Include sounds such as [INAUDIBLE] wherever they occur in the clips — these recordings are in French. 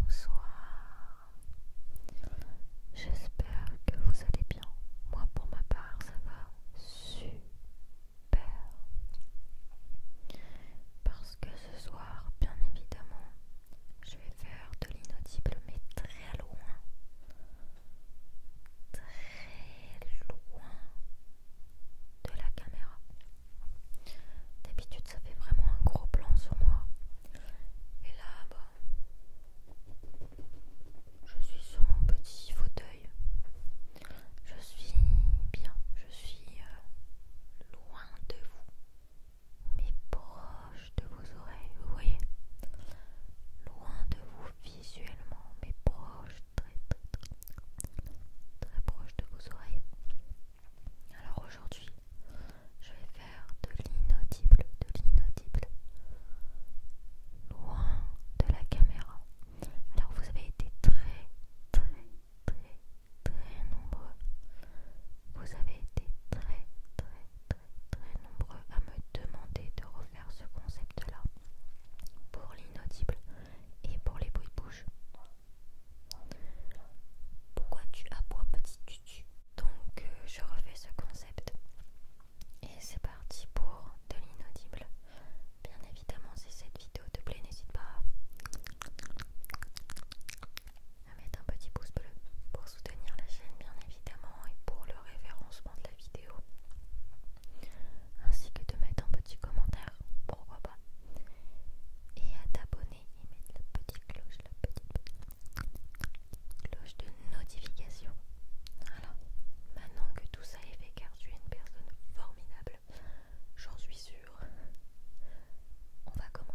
Bonsoir. J'espère que vous allez bien. Moi pour ma part, ça va super. Parce que ce soir, bien évidemment, je vais faire de l'inaudible mais très loin. Très loin de la caméra. D'habitude, ça fait vraiment un gros plan sur moi. Et là, bah, je suis sur mon petit fauteuil. Je suis bien, je suis euh, loin de vous, mais proche de vos oreilles, vous voyez Loin de vous visuellement, mais proche très proche de vos oreilles. Alors aujourd'hui, je vais faire de l'inaudible, de l'inaudible, loin de la caméra. Alors vous avez été très très très très nombreux. Vous avez été très très très très nombreux à me demander de refaire ce concept-là pour l'inaudible et pour les bruits de bouche. Pourquoi tu aboies petit tutu Donc euh, je refais ce concept. Et c'est parti pour de l'inaudible. Bien évidemment si cette vidéo te plaît n'hésite pas à mettre un petit pouce bleu pour soutenir la chaîne bien évidemment et pour le référencement de la vidéo ainsi que de mettre un petit commentaire, pourquoi pas, et à t'abonner et mettre la petite cloche, la petite, cloche de notification. Voilà, maintenant que tout ça est fait, car tu es une personne formidable, j'en suis sûre, on va commencer.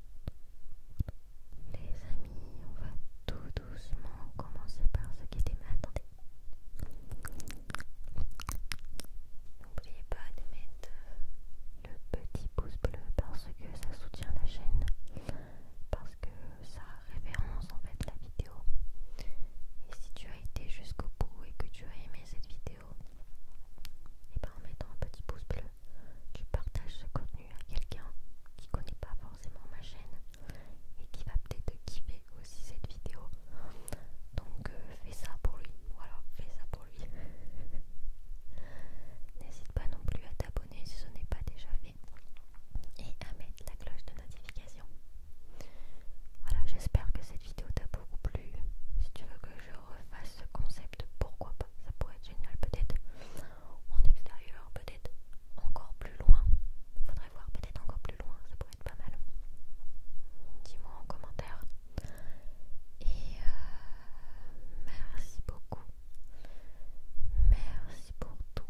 Les amis, on va tout doucement commencer par ce qui était. mal N'oubliez pas de mettre le petit pouce bleu parce que ça soutient la chaîne, parce que ça référence en fait la vidéo. Et si tu as été jusqu'au bout et que tu as aimé cette vidéo, et ben en mettant un petit pouce bleu, tu partages ce contenu à quelqu'un qui connaît pas forcément ma chaîne et qui va peut-être kiffer aussi cette vidéo. Donc euh, fais ça pour lui, voilà, fais ça pour lui. [LAUGHS] N'hésite pas non plus à t'abonner si ce n'est pas déjà fait et à mettre la cloche de notification. Voilà, j'espère que cette vidéo t'a beaucoup plu. Si tu veux que je refasse ce concept, pourquoi pas ça pourrait être génial peut-être. En extérieur, peut-être encore plus loin. Faudrait voir peut-être encore plus loin, ça pourrait être pas mal. Dis-moi en commentaire. Et euh, merci beaucoup. Merci pour tout.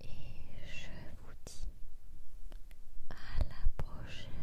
Et je vous dis à la prochaine.